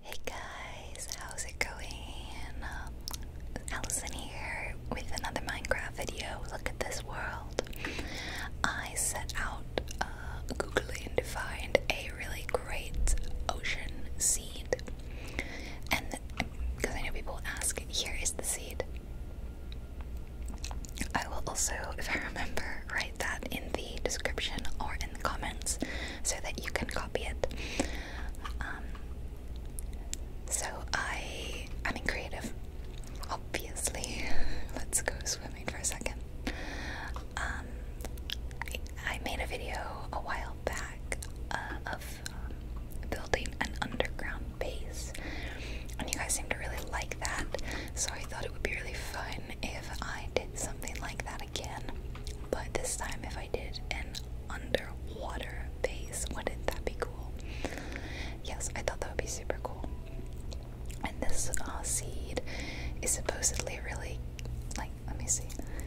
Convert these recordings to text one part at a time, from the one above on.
Hey guys, how's it going? Um, Allison here with another Minecraft video. Look at this world. I set out uh, googling to find a really great ocean seed, and because I know people ask, here is the seed. I will also, if I remember, write that in the description or in the comments so that you can copy it. Um, so I am in creative, obviously. Let's go swimming for a second. Um, I, made a video a while back uh, of um, building an underground base, and you guys seem to really like that. So I thought it would be really fun if I did something like that again, but this time if I did an underwater base, wouldn't that be cool? Yes, I thought that would be super cool. And this uh, seed is supposedly really like let me see.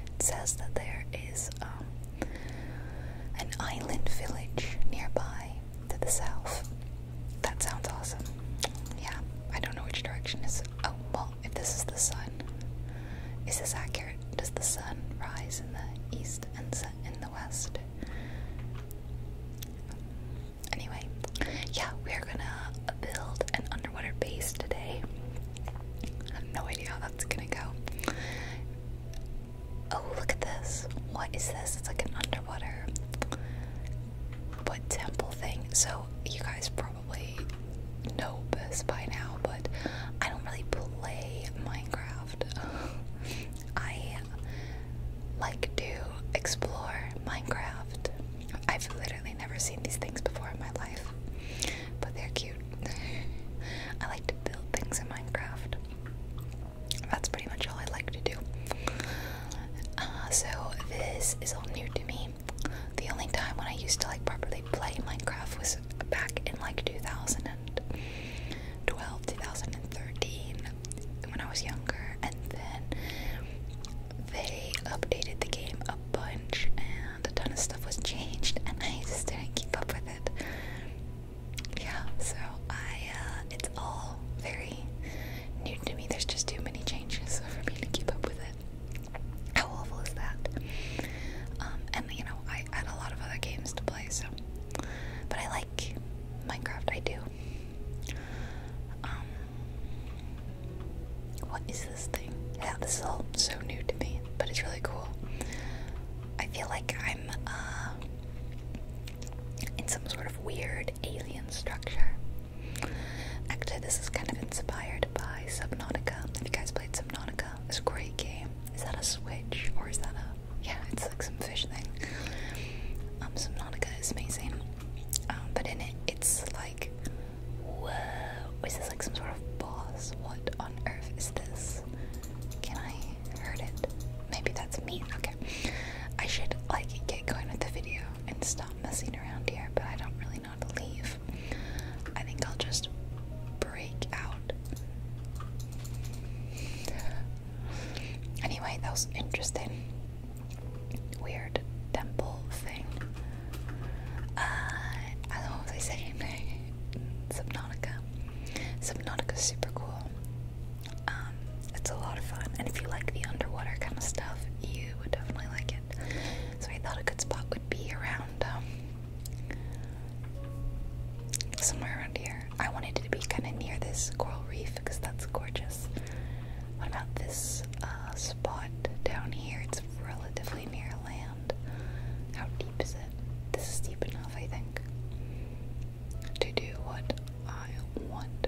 It says that there is um, an island village nearby to the south. That sounds awesome. Yeah, I don't know which direction is oh well if this is the sun is this accurate does the sun rise in the east and set in the west anyway yeah we're gonna build an underwater base today have no idea how that's gonna go oh look at this what is this it's like an underwater what temple thing so you guys probably probably know this by now, but I don't really play Minecraft. I like to explore Minecraft. I've literally never seen these things before in my life, but they're cute. I like to build things in Minecraft. That's pretty much all I like to do. Uh, so, this is all new to me the only time when I used to like properly play Minecraft was back in like 2012, 2013 when I was younger, and then they updated the game a bunch and a ton of stuff was changed, and I just didn't keep up with it. Yeah, so I, uh, it's all very new to me. There's just too many changes for me to keep up with it. How awful is that? Um, and you know, I had a lot of other games to play, so. But I like Minecraft, I do. Um, what is this thing? Yeah, this is all so new to me, but it's really cool. I feel like I'm uh, in some sort of weird alien structure. Actually, this is kind of inspired by Subnautica. Have you guys played Subnautica, it's a great game. Is that a Switch or is that a yeah? It's like some fish thing. Um, Subnautica is amazing. Um, but in it, it's like, whoa! Is this like some sort of boss? What on earth is this? Can I hurt it? Maybe that's me. Okay, I should like get going with the video and stop messing around here, but I don't really not leave. I think I'll just break out. Anyway, that was interesting. Weird temple thing. Uh, I don't know what they say. saying. Subnautica. is super cool. Um, it's a lot of fun, and if you like the underwater kind of stuff, you would definitely like it. So I thought a good spot would be around um, somewhere around here. I wanted it to be kind of near this coral reef because that's gorgeous. What about this uh, spot down here? It's relatively near land. How deep is it? This is deep enough, I think, to do what I want.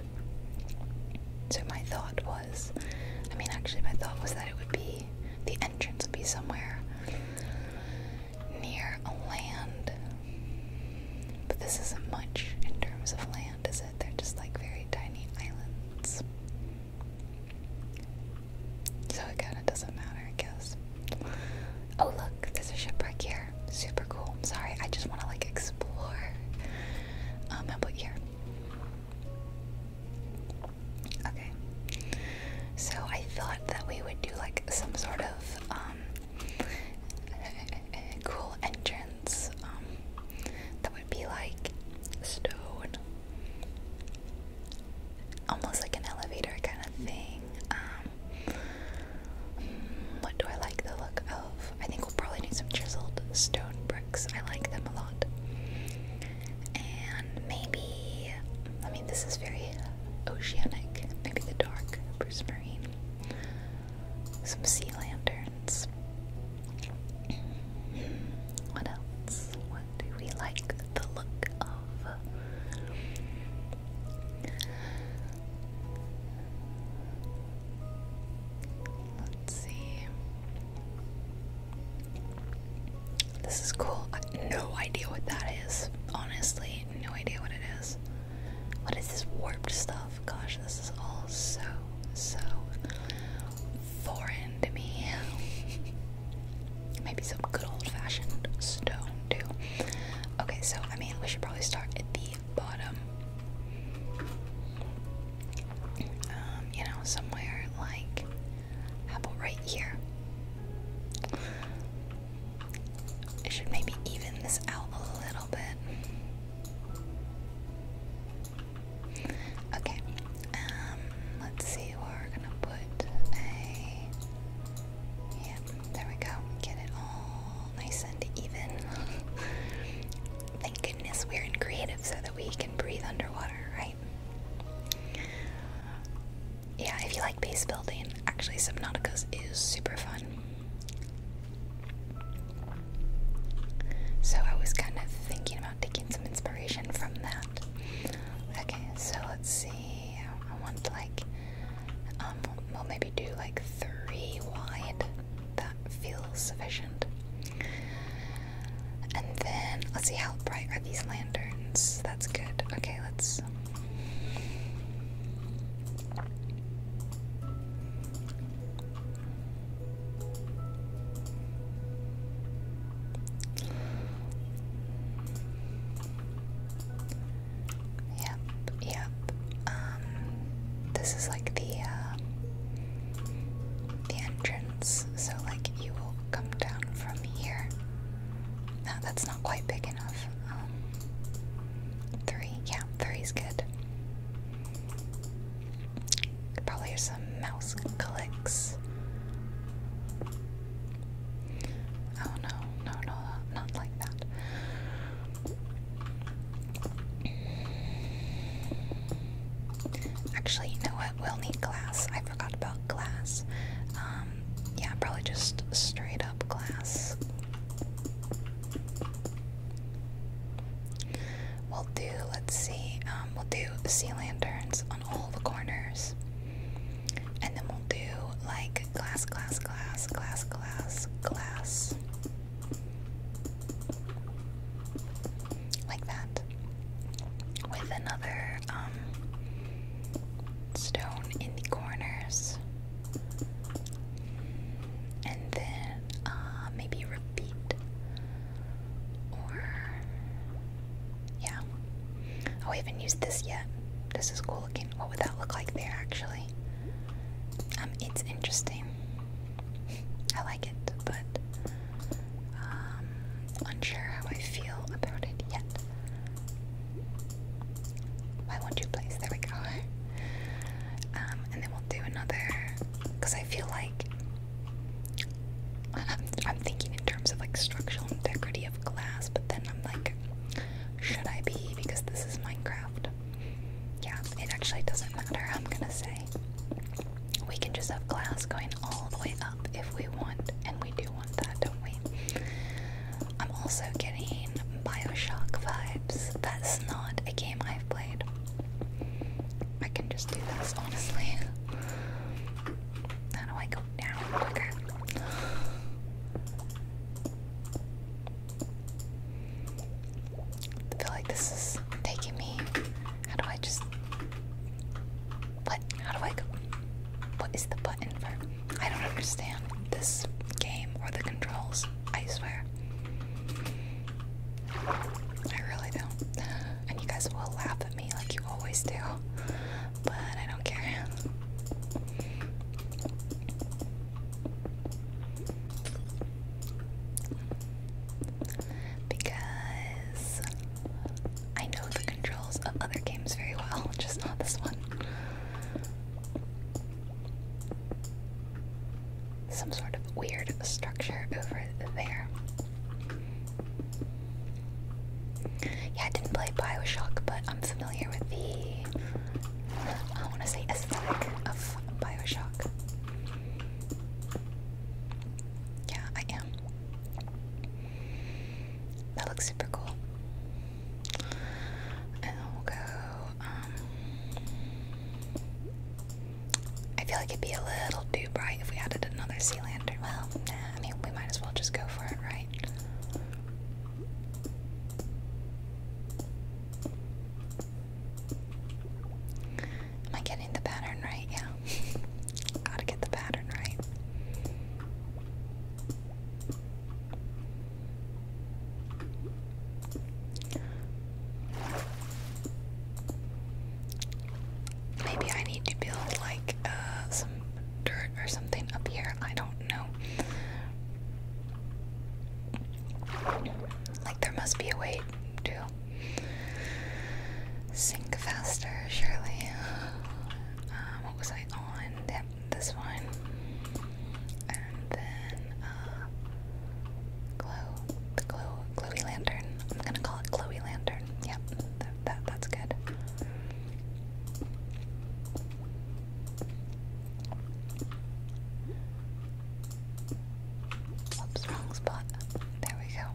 So my thought was. I mean, actually, my thought was that it would be the entrance would be somewhere near a land. But this isn't much in terms of land, is it? They're just like very tiny islands. So it kind of doesn't matter, I guess. Oh, look, there's a shipwreck here. Super cool. I'm sorry, I just want to like explore. Um, how about here? Okay. So I thought that we would do like some sort of um, cool entrance um, that would be like stone, almost like an elevator kind of thing. Um, hmm, what do I like the look of? I think we'll probably need some chiseled stone bricks. I like them a lot and maybe I mean this is very oceanic. Maybe the dark Bruce Marine. Some sea lanterns. What else? What do we like the look of? Let's see. This is cool. no idea what that is. Honestly, no idea what it is. What is this warped stuff? Gosh, this is all so, so foreign to me. Maybe some good old fashioned stone, too. Okay, so I mean, we should probably start at the bottom. Um, you know, somewhere like how about right here? I should maybe even this out a little bit. Okay. Um, let's see we're gonna put a yeah, there we go. Get it all nice and even. Thank goodness we're in creative so that we can breathe underwater, right? Yeah, if you like base building, actually Subnautica is super fun. So I was kind of thinking about taking some inspiration from that. Okay, so let's see. I want to like, um, we'll maybe do like three wide. That feels sufficient. And then let's see how bright are these lanterns. That's good. Okay, let's. Yep, yep. Um, this is like the uh, the entrance so like you will come down from here. No, that's not quite big enough. Um, three, yeah, three's good. Probably hear some mouse clicks. Oh no, no, no, not like that. Actually, you know what? We'll need glass. I forgot about glass. Um, yeah, probably just straight up glass. We'll do, let's see, um, we'll do sea lanterns on all the corners. And then we'll do like glass, glass, glass, glass, glass, glass. Like that with another um, stone in the corners. And then uh, maybe repeat. Or. Yeah. I oh, haven't used this yet. This is cool looking. What would that look like there, actually? Um, it's interesting. I like it, but um, unsure how I feel about it yet. Why won't you place? There we go. Um, and then we'll do another, because I feel like I'm, thinking in terms of like structural integrity of glass, but then I'm like, should I be? Because this is Minecraft. Yeah, it actually doesn't matter. I'm gonna say we can just have glass going all the way up if we want, and we do want that, don't we? I'm also getting Bioshock vibes. That's not a game I've played. I can just do this, honestly. How do I go down quicker? I feel like this is taking me. How do I just what? How do I go? What is the button for? I don't understand this game or the controls. I swear. I really don't. And you guys will laugh at me like you always do. But I don't care. Because I know the controls of other games very well, just not this one. Some sort of weird structure over there. Yeah, I didn't play Bioshock, but I'm familiar with the, I want to say, aesthetic of Bioshock. Yeah, I that looks super cool. And we'll go, um, I feel like it'd be a little too bright if we added another sea lantern. Well, I mean, we might as well just go for it, right? Am I getting the pattern right? Yeah. Gotta get the pattern right. Maybe I need to build like uh, some dirt or something up here. I don't know. Like, there must be a way to Sink faster, Shirley. Um, what was I on? Yep, this one. And then, uh, glow, the glow, glowy lantern. I'm gonna call it glowy lantern. Yep, that that's good. Oops, wrong spot. There we go.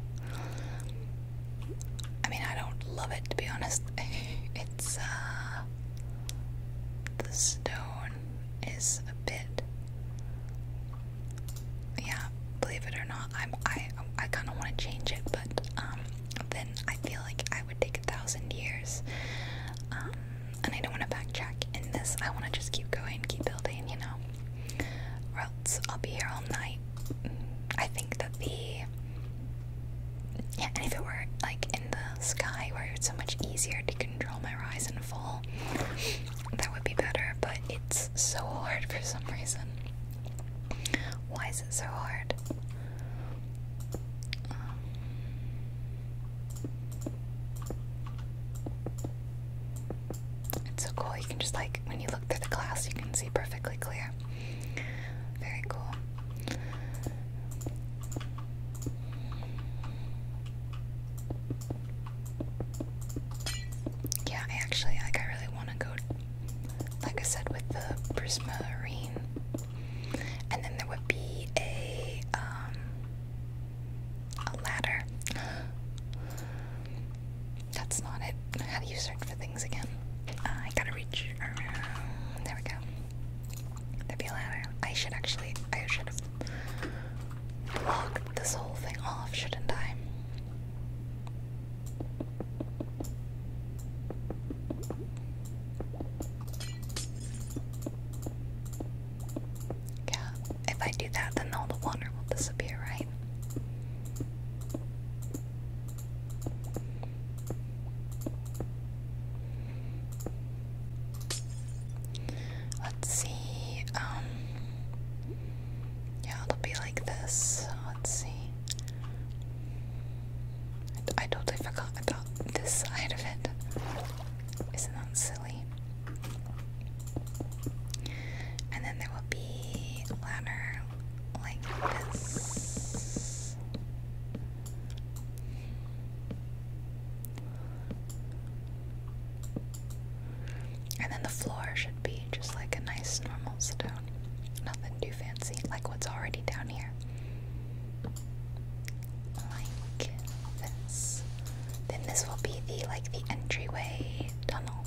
I mean, I don't love it to be honest. it's, uh, the stone is a bit, yeah, believe it or not, I'm, I, I kind of want to change it, but, um, then I feel like I would take a thousand years, um, and I don't want to backtrack in this, I want to just keep going, keep building, you know? or else I'll be here all night. I think that the yeah, and if it were like in the sky where it's so much easier to control my rise and fall, that would be better. But it's so hard for some reason. Why is it so hard? Um, it's so cool. You can just like when you look through the glass, you can see perfectly clear. Very cool. Yeah, I actually like. I really want to go. Like I said, with the prismarine, and then there would be a um, a ladder that's not it. How do you search for things again? I gotta reach around. There we go. there be a ladder. I should actually. I should have locked this whole thing off, shouldn't I? Yeah, if I do that, then all the water will disappear, right? Let's see. Um Yeah, it'll be like this. Let's see. I, totally forgot about this side of it. Isn't that silly? And then there will be ladder, like this. And then the floor should be just like a nice normal stone. Nothing too fancy, like what's already down here. Like this. Then this will be the like the entryway tunnel.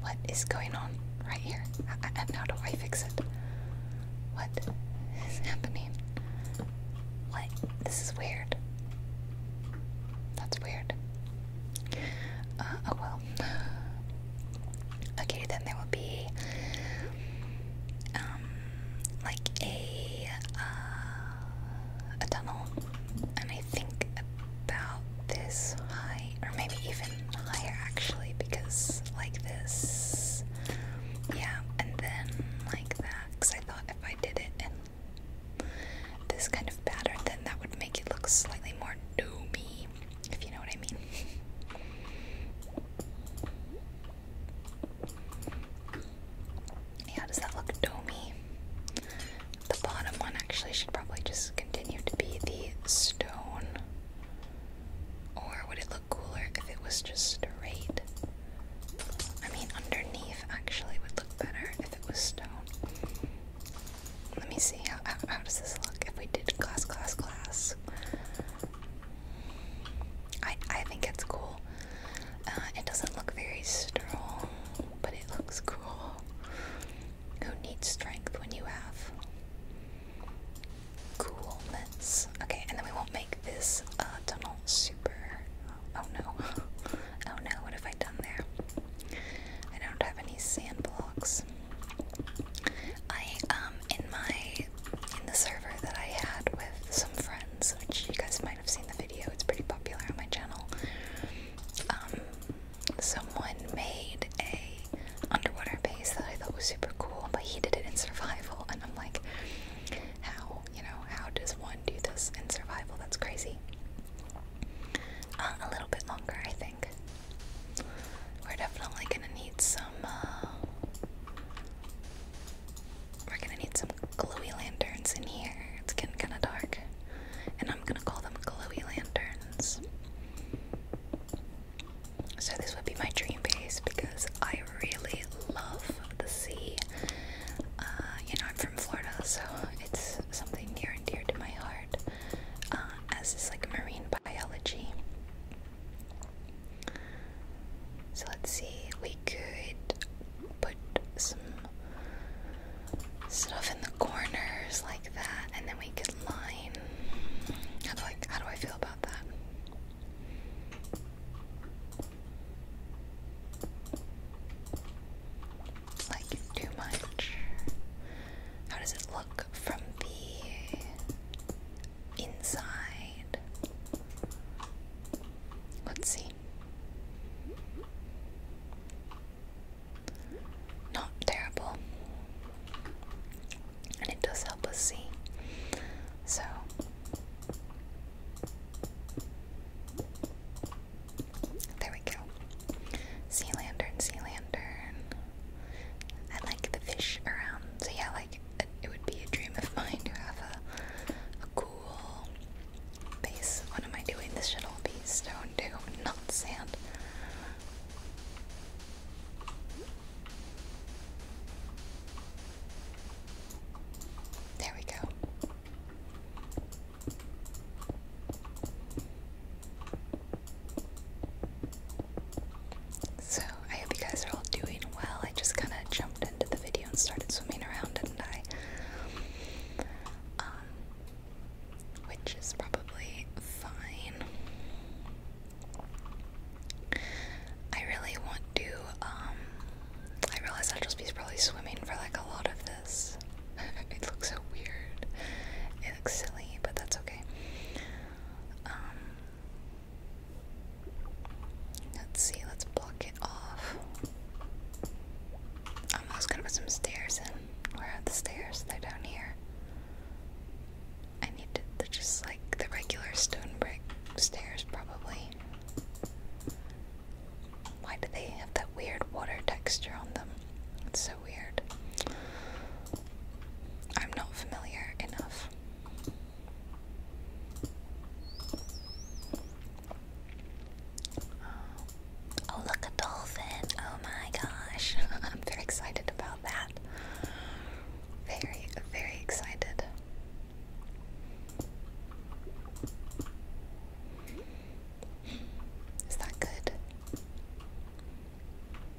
What is going on right here? And how do I fix it? What is happening? What? This is weird. That's weird. Uh, oh well. Okay, then there will be um like a uh, a tunnel, I think about this high, or maybe even higher actually, because like this, yeah, and then like that, because I thought if I did it in this kind of pattern, then that would make it look slightly more doomy, if you know what I mean. Yeah, does that look domey? The bottom one actually should probably just continue to be the stone. Or would it look cooler if it was just straight? I mean, underneath actually would look better if it was stone. Let me see, how, how, does this look if we did glass, glass, glass? I, I think it's cool. Uh, it doesn't look very strong, but it looks cool. Who needs strength when you have coolness? Okay, and then we won't make this uh, tunnel super. Oh, oh no. Oh no, what have I done there? I don't have any sand blocks. I, um, in my. in the server that I had with some friends, which you guys might have seen the video, it's pretty popular on my channel. Um, someone made a underwater base that I thought was super cool, but he did it in survival, and I'm like, how, you know, how does one do this in survival? That's crazy. Uh, a little bit longer, I think. We're definitely gonna need some, uh, we're gonna need some glowy lanterns in here. It's getting kinda dark and I'm gonna call them glowy lanterns. So, this would be my dream base because I really love the sea. Uh, you know, I'm from Florida, so it's something near and dear to my heart, uh, as is like marine biology. So, let's see, we could put some stuff in the corners like that, and then we could line. How do I how do I feel about that? Like too much. How does it look from the inside? Let's see. Not terrible. And it does help us see. So there we go. Sea lantern, sea lantern. I like the fish around. So yeah, like it would be a dream of mine to have a, cool base. What am I doing? This should all be stone too, not sand. There we go. So, I hope you guys are all doing well. I just kind of jumped into the video and started swimming around, didn't I? Um, which is probably fine. I really want to, um, I realize I'll just probably swimming for like a lot of this. it looks so weird. It looks silly, but that's okay. Um, let's see, let's block it off. I'm also gonna put some stairs in. Where are the stairs? They're down here. I need to, they're just like the regular stone brick stairs, probably. Why do they have that weird water texture on them? It's so weird. I'm not familiar enough. Um, oh, look, a dolphin. Oh my gosh. I'm very excited about that. Very, very excited. Is that good?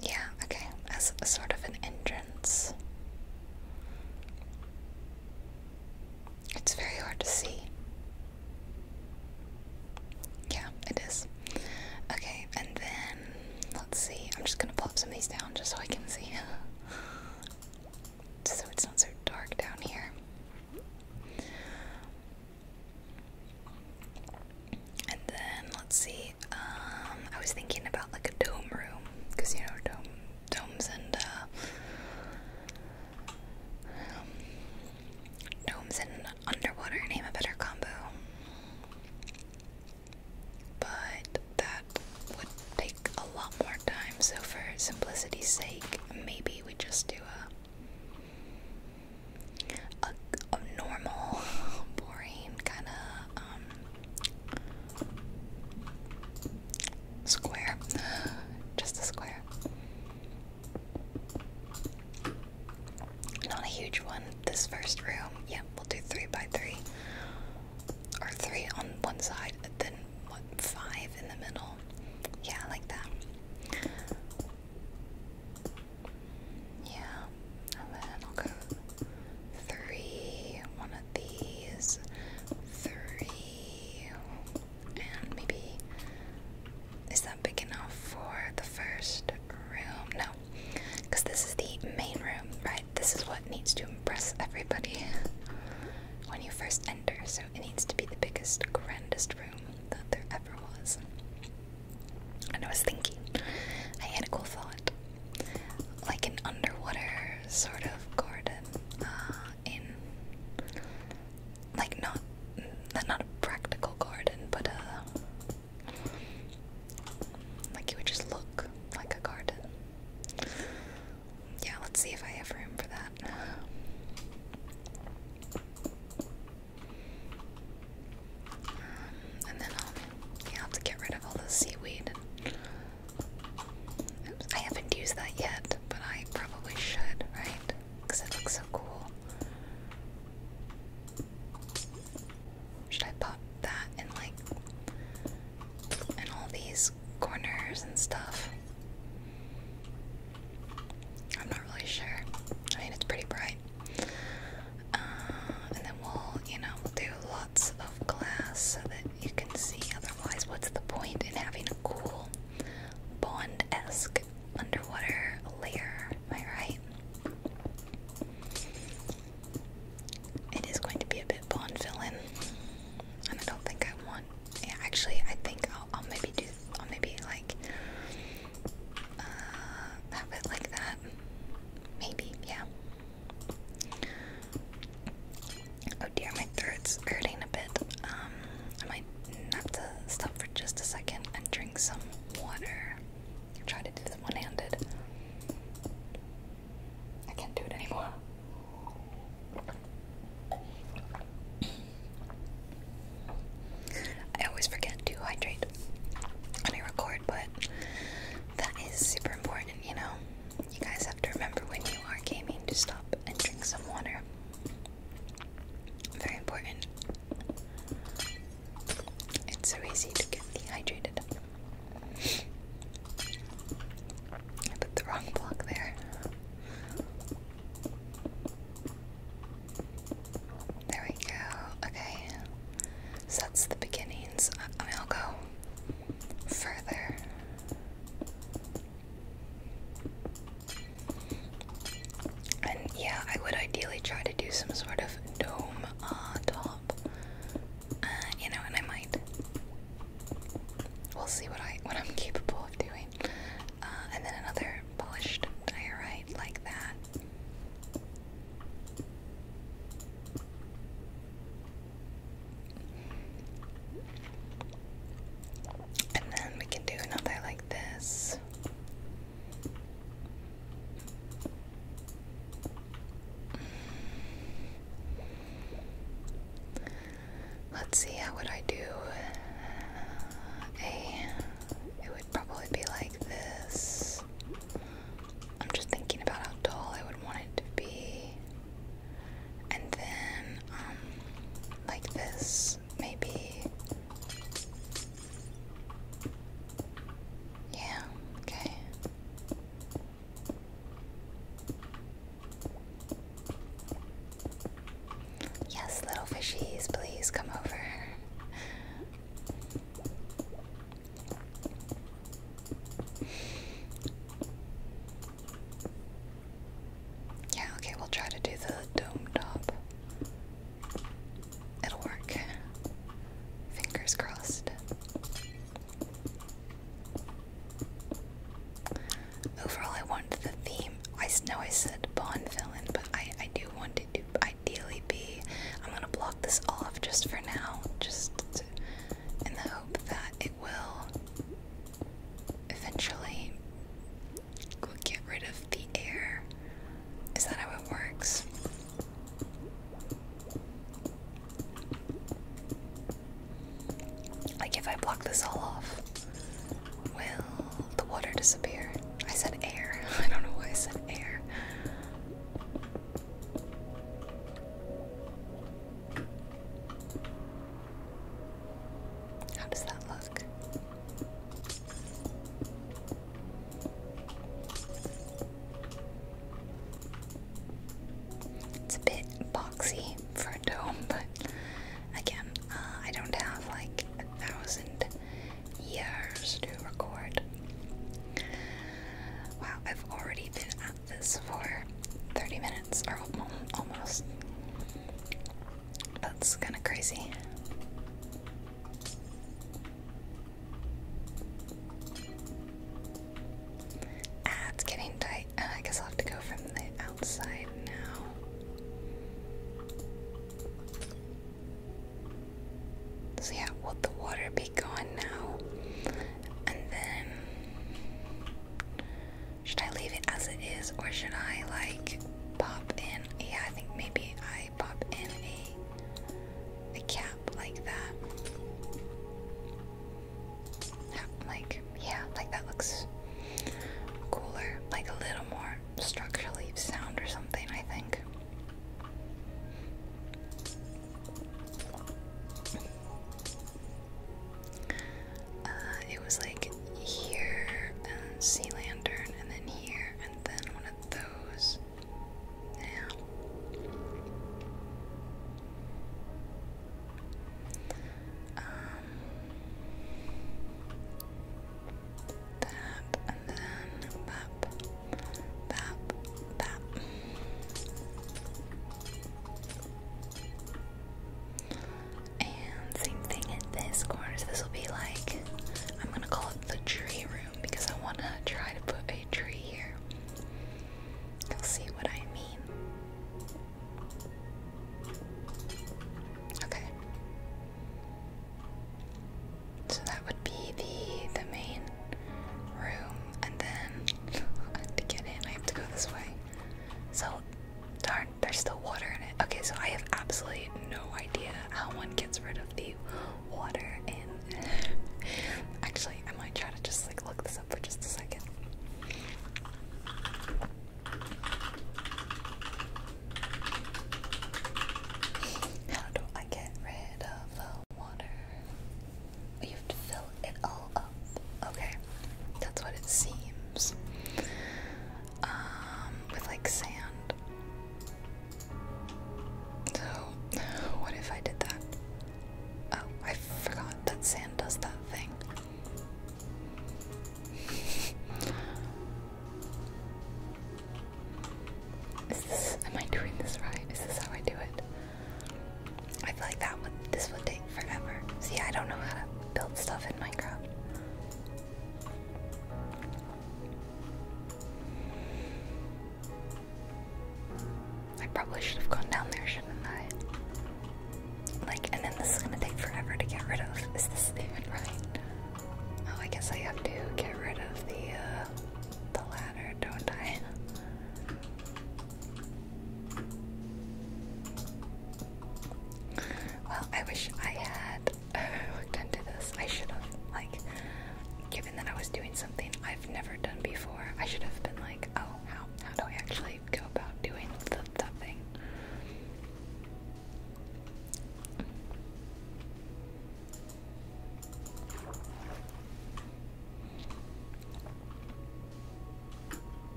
Yeah, okay. As a sort of an entrance. It's very hard to see. Yeah, it is. Okay, and then let's see. I'm just gonna plop some of these down just so I can see. so it's not so dark down here. And then let's see. Um, I was thinking about like a dome room because you know dome domes and uh, um, and underwater name a better combo. But that would take a lot more time, so for simplicity's sake, maybe we just do a a, normal, boring kind of um, square, just a square. Not a huge one. This first room, yeah, we'll do three by three, or three on one side, and then what? Five in the middle. Yeah, like that. Yeah, and then I'll go three. One of these. Three and maybe is that big enough for the first room? No, because this is the main room, right? This is what needs to impress everybody when you first enter, so it needs to be the biggest, grandest room that there ever was. And I was thinking, I had a cool thought like an underwater sort of garden uh, in like not not a practical garden, but a uh, like you would just look like a garden. Yeah, let's see if I have room for that. Um, and then yeah, i have to get rid of all the seaweed. I haven't used that yet, but I probably should, right? Because it looks so cool. Should I pop that in like in all these corners and stuff? I'm not really sure. I mean, it's pretty bright. Uh, and then we'll, you know, we'll do lots of glass so that you can see. Otherwise, what's the point in having a cool Bond-esque underwater layer, am I right? It is going to be a bit Bond villain, and I don't think I want. Yeah, actually, I think I'll, maybe do. I'll maybe like uh, have it like that. Maybe, yeah. Oh dear, my throat's hurting a bit. Um, I I have to stop for just a second and drink some water. Try to do this one handed. I can't do it anymore. I always forget to hydrate when I record, but that is super important, you know? You guys have to remember when you are gaming to stop and drink some water. Very important. It's so easy to get dehydrated. I put the wrong block there. There we go. Okay. So the beginnings. I'll go further. And yeah, I would ideally try to do some sort of dome top. Uh, you know, and I might. We'll see what I what I'm capable of doing. Uh, and then another polished diorite like that. And then we can do another like this. Let's see, how would I do a. It would probably be like this. I'm just thinking about how tall I would want it to be. And then, um, like this, maybe. Yeah, okay. Yes, little fishies, please come over. Yeah, okay, we'll try to do the dome top. It'll work. Fingers crossed. Overall, I want the theme. I know I said Bond villain, but I, I do want to ideally be. I'm gonna block this off just for now, just in the hope that it will eventually Go get rid of the air. Is that how it works? Like if I block this all off, will the water disappear? I said air. I don't know why I said air. How does that look? It's a bit boxy for a dome, but again, uh, I don't have like a thousand years to record. Wow, I've already been at this for 30 minutes, or almost. That's kind of crazy. Ah, it's getting tight. Ah, I guess I'll have to go from the outside now. So yeah, will the water be gone now? And then should I leave it as it is or should I like pop in. Yeah, I think maybe I pop in a a cap like that. Like yeah, like that looks cooler, like a little more structurally sound or something. I think. Uh, it was like here and sea lantern and then here and then one of those. Yeah. Um that and then bap bap bap and same thing at this corner this will be like I'm gonna call it the tree room because I wanna try to put a tree here. You'll see what I mean. Okay. So that would be the the main room, and then to get in, I have to go this way. So darn, there's still water in it. Okay, so I have absolutely no idea how one gets rid of the water And Actually, I might try to just like look this up for just a second. How do I get rid of the water? You have to fill it all up. Okay, that's what it seems. Um, with like sand. So, what if I did that? Oh, I forgot that sand does that thing. Is this, am I doing this right? Is this how I do it? I feel like that would, this would take forever. See, I don't know how to build stuff in Minecraft. I probably should have gone down there, shouldn't I? Like, and then this is gonna take forever to get rid of. Is this even right? Oh, I guess I have to get rid of the uh, the ladder, don't I? Well, I wish I had I looked this. I should have, like, given that I was doing something I've never done before, I should have been like, oh, how, how do I actually go about doing the, that thing?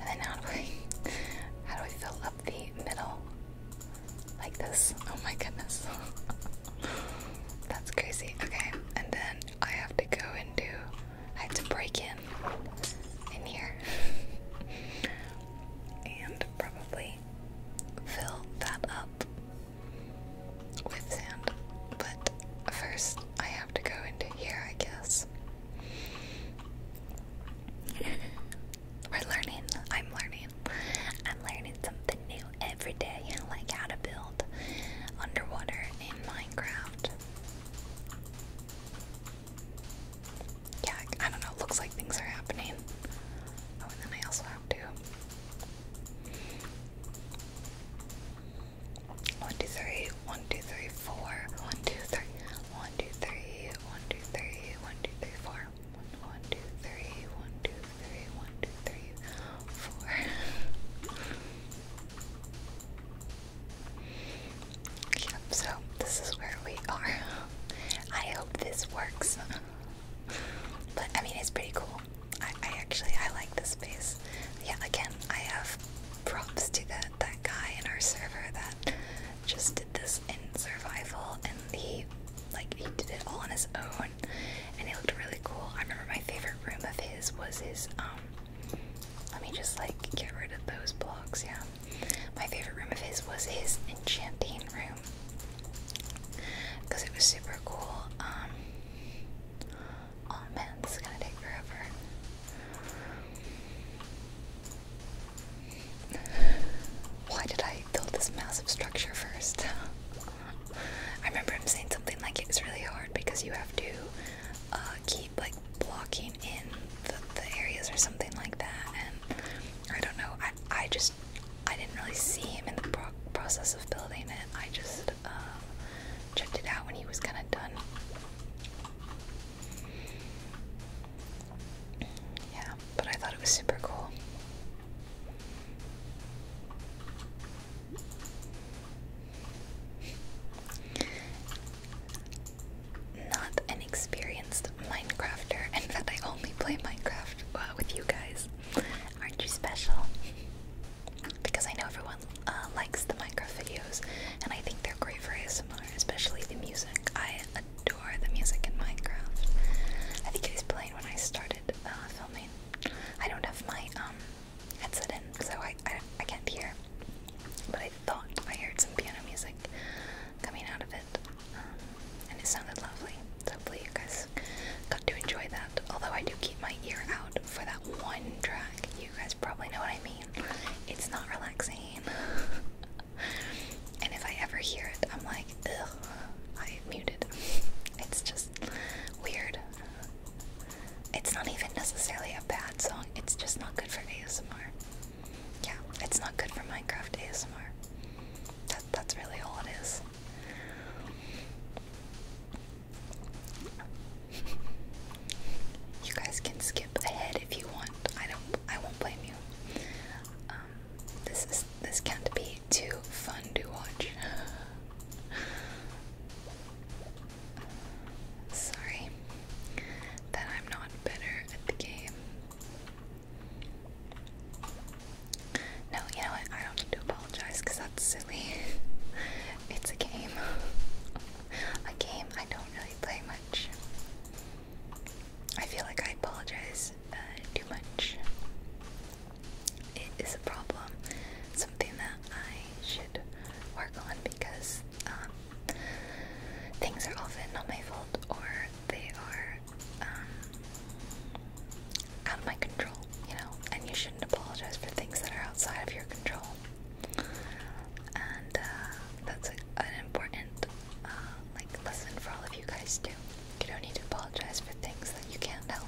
And then how do I how do I fill up the middle? Like this. Oh my goodness. That's crazy. Okay, and then I have to go and do I have to break in in here. and probably fill that up with sand. But first I have to go into here, I guess. We're learning. I'm learning. I'm learning something new every day, like how to build underwater in Minecraft. Yeah, I don't know. looks like things are happening. Oh, and then I also have to. One, two, three. One, two, three, four. One, two, three. One, two, three, one, two, three, one, two, three, four. One, one, two, three, one, two, three, one, two, three, four. yep, so this is where we are. I hope this works. but I mean it's pretty cool. I, I actually I like this space. Yeah, again, I have props to the that guy in our server that just did this in survival and he like he did it all on his own and he looked really cool. I remember my favorite room of his was his um let me just like get rid of those blocks, yeah. My favorite room of his was his enchanting room. Because it was super cool. Um, oh man, this is gonna take forever. Why did I build this massive structure first? I remember him saying something like it was really hard because you have to uh, keep like blocking in the, areas or something like that. And I don't know. I I just I didn't really see him in the process of building it. I just uh, checked it out when he was kind of done. Yeah, but I thought it was super cool. Not an experienced Minecrafter, and that I only play Minecraft uh, with you guys. Aren't you special? Because I know everyone uh, likes the Minecraft videos, and I think they're great for ASMR, especially the music. I adore the music in Minecraft. I think it was playing when I started uh, filming. I don't have my um, headset in, so I, I, can't hear. But I thought I heard some piano music coming out of it, um, and it sounded lovely. hopefully you guys got to enjoy that. Although I do keep my ear out for that one track. You guys probably know what I mean. It's not relaxing. and if I ever hear it, I'm like, I muted. It's just weird. It's not even necessarily a bad song, it's just not good for ASMR. Yeah, it's not good for Minecraft ASMR. that's really all it is. You guys can skip ahead if you want. I don't. I won't blame you. Um, this is this can't be too fun to watch. Sorry that I'm not better at the game. No, you know what? I don't need to apologize because that's silly. it's a game. a game I don't really play much. I feel like I apologize uh, too much. It is a problem, something that I should work on because um, things are often not my fault or they are um, out of my control, you know, and you shouldn't apologize for things that are outside of your control and uh, that's an important uh, like lesson for all of you guys too. You don't need to apologize for things that you can't help.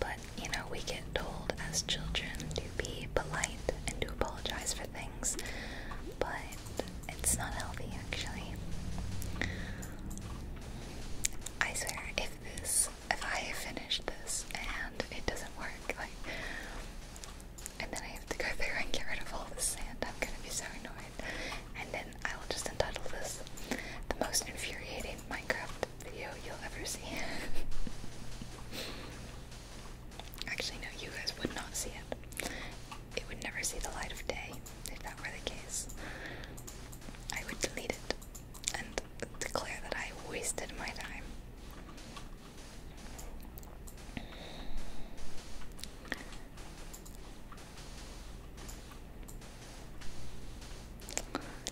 But you know, we get told as children to be polite and to apologize for things, but it's not healthy actually. I swear, if this, if I have this and it doesn't work, like, and then I have to go there and get rid of all the sand. I'm gonna be so annoyed. And then I will just entitle this the most infuriating Minecraft video you'll ever see. Actually, no, you guys would not see it. It would never see the light of day if that were the case. I would delete it and declare that I wasted my time.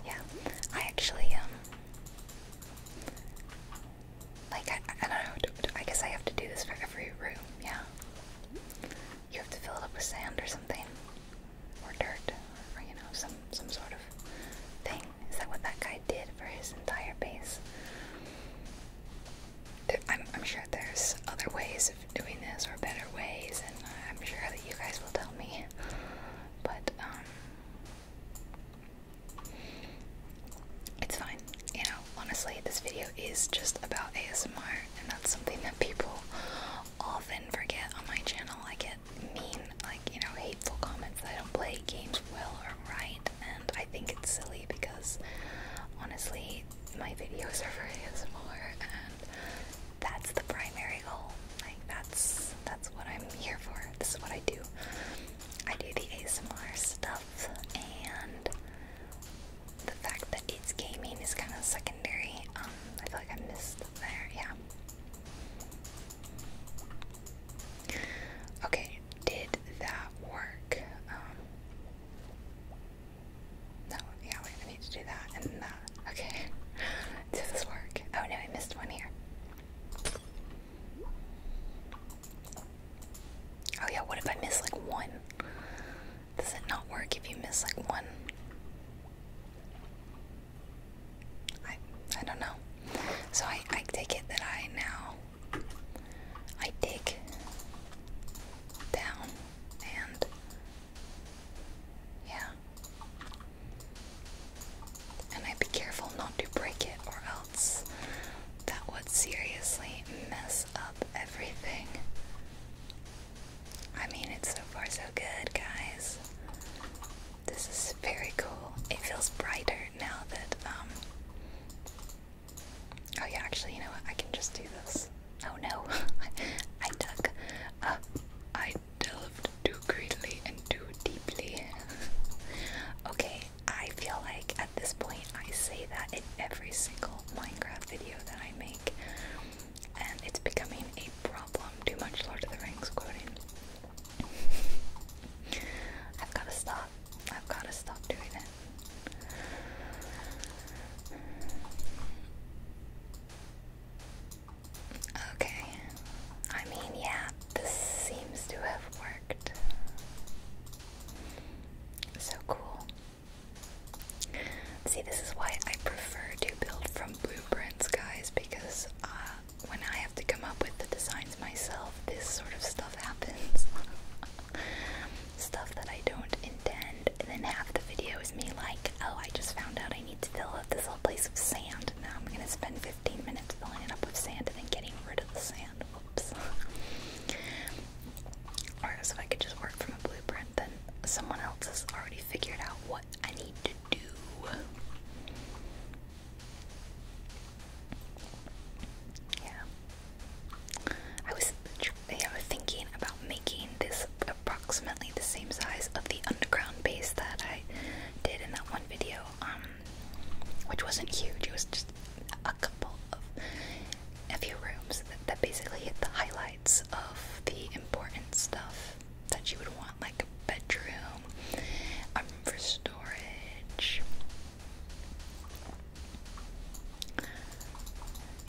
Yeah, I actually, um, like, I, I don't know, I guess I have to do this for every room, yeah. You have to fill it up with sand or something, or dirt, or, you know, some, some sort of thing. Is that what that guy did for his entire base? I'm, I'm sure there's other ways of doing this or better ways, and I'm sure that you guys will tell me. But, um, it's fine. You know, honestly, this video is just about ASMR, and that's something that people often forget on my channel. I get mean, like, you know, hateful comments that I don't play games well or right and I think it's silly because honestly, my videos are for ASMR, and that's the primary goal. Like that's that's what I'm here for. This is what I do. I do the ASMR stuff, and the fact that it's gaming is kind of secondary. Um, I feel like I missed there. Yeah. Okay, did that work? Um, that one, yeah, wait, I need to do that and Okay, does this work? Oh no, I missed one here. Oh yeah, what if I miss like one? Does it not work if you miss like one? I I don't know. So I I take it that I now I dig down and yeah. And I'd be careful not to break it or else that would seriously mess up everything. I mean, it's so far so good, guys. This is very cool. It feels brighter now that, um. Oh, yeah, actually, you know what? I can just do this. Oh no, I dug. Uh, I delved too greatly and too deeply. okay, I feel like at this point I say that in every single Minecraft video that I make, and it's becoming a problem. Too much Lord of the Rings quoting. I've gotta stop. I've gotta stop doing it. Okay. I mean, yeah, this seems to have worked. So cool. See, this is why I prefer to build from blueprints, guys, because uh, when I have to come up with the designs myself, this sort of stuff happens. stuff that I don't intend, and then half the video is me like, oh, I just found out I need to fill up this little place with sand. Now I'm gonna spend 15 minutes filling it up with sand and then getting rid of the sand. Oops. or if I could just work from a blueprint, then someone else has already figured out what I need to do. Yeah. I was yeah, I was thinking about making this approximately the same size of the underground base that I did in that one video, um, which wasn't huge. It was just a couple of a few rooms that, basically hit the highlights of the important stuff that you would want, like a bedroom, um, for storage,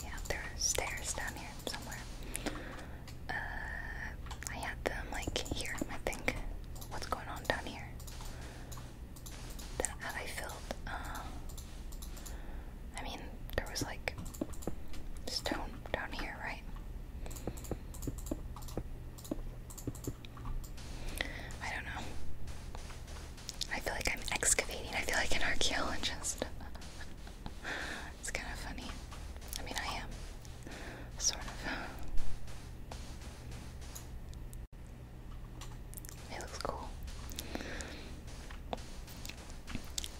yeah, there are stairs down here somewhere. Uh, I had them like here, I think. What's going on down here? have I filled? Uh, I mean, there was like stone down here, right? I don't know. I feel like I'm excavating. I feel like an archaeologist. it's kind of funny. I mean, I am. Sort of. It looks cool.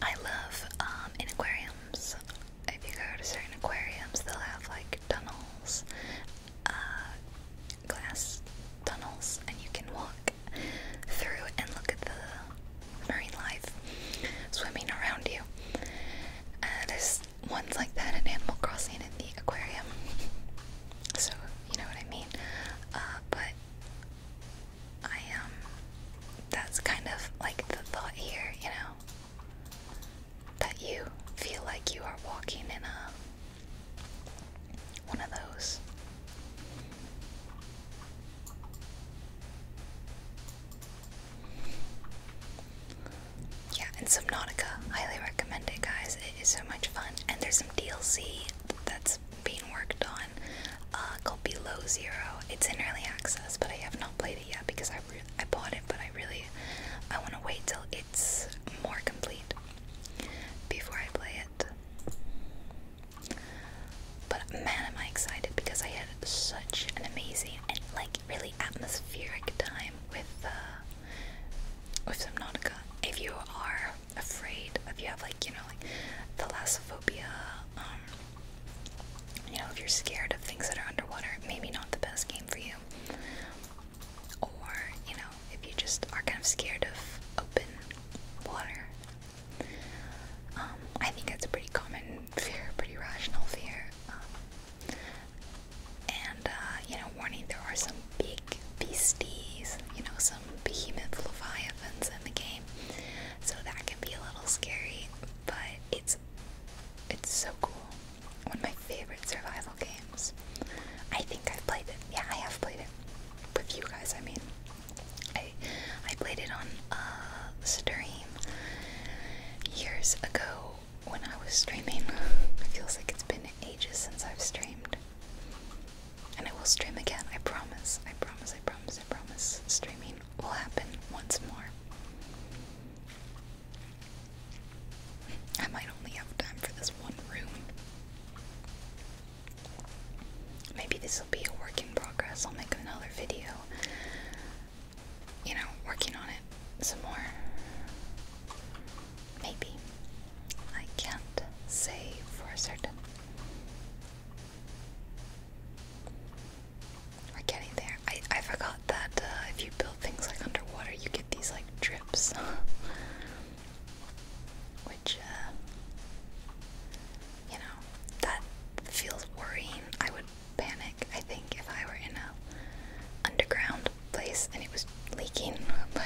I love um, in aquariums. If you go to certain aquariums, they'll have like tunnels uh, glass tunnels, and you can walk through and look at the marine life swimming around you. Uh, there's ones like that in Animal Crossing in the aquarium, so you know what I mean. Uh, but I um, that's kind of like the thought here, you know, that you feel like you are walking in a one of those. Yeah, and Subnautica. Highly recommend it, guys. It is so much fun. And there's some DLC that's being worked on uh, called Below Zero. It's in early access, but I have not played it yet because I, I bought it, but I really I want to wait till it's more complete before I play it. But man, am I excited because I had such an amazing and like really atmospheric time with uh, with Subnautica. If you are afraid, if you have like you know like thalassophobia, um, you know if you're scared of things that are underwater, maybe not the best game for you or you know, if you just are kind of scared of open water. Um, I think that's a pretty common fear, pretty rational fear. Um, and uh, you know, warning: there are some big beasties, you know, some behemoth leviathans in the game, so that can be a little scary. But it's it's so cool. One of my favorite survival games. I think I've played it. Yeah, I have played it. With you guys, I mean. I I played it on a uh, stream years ago when I was streaming. it feels like it's been ages since I've streamed. And I will stream again, I promise. I promise, I promise, I promise. Streaming will happen once more. I might only have time for this one room. Maybe this will be a work in progress. I'll make another video, you know, working on it some more. Maybe. I can't say for certain. We're getting there. I, I forgot that uh, if you build things like underwater, you get these like drips, which uh, you know that feels worrying. I would panic. I think if I were in a underground place and it was leaking, but.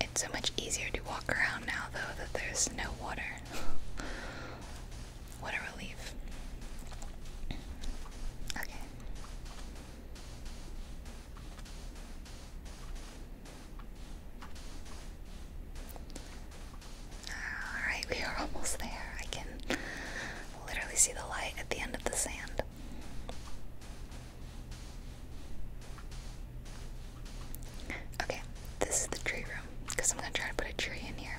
It's so much easier to walk around now, though, that there's no water. What a relief. Okay. Alright, we are almost there. I can literally see the light at the end of the sand. Okay, this is the tree room because I'm going to try to put a tree in here.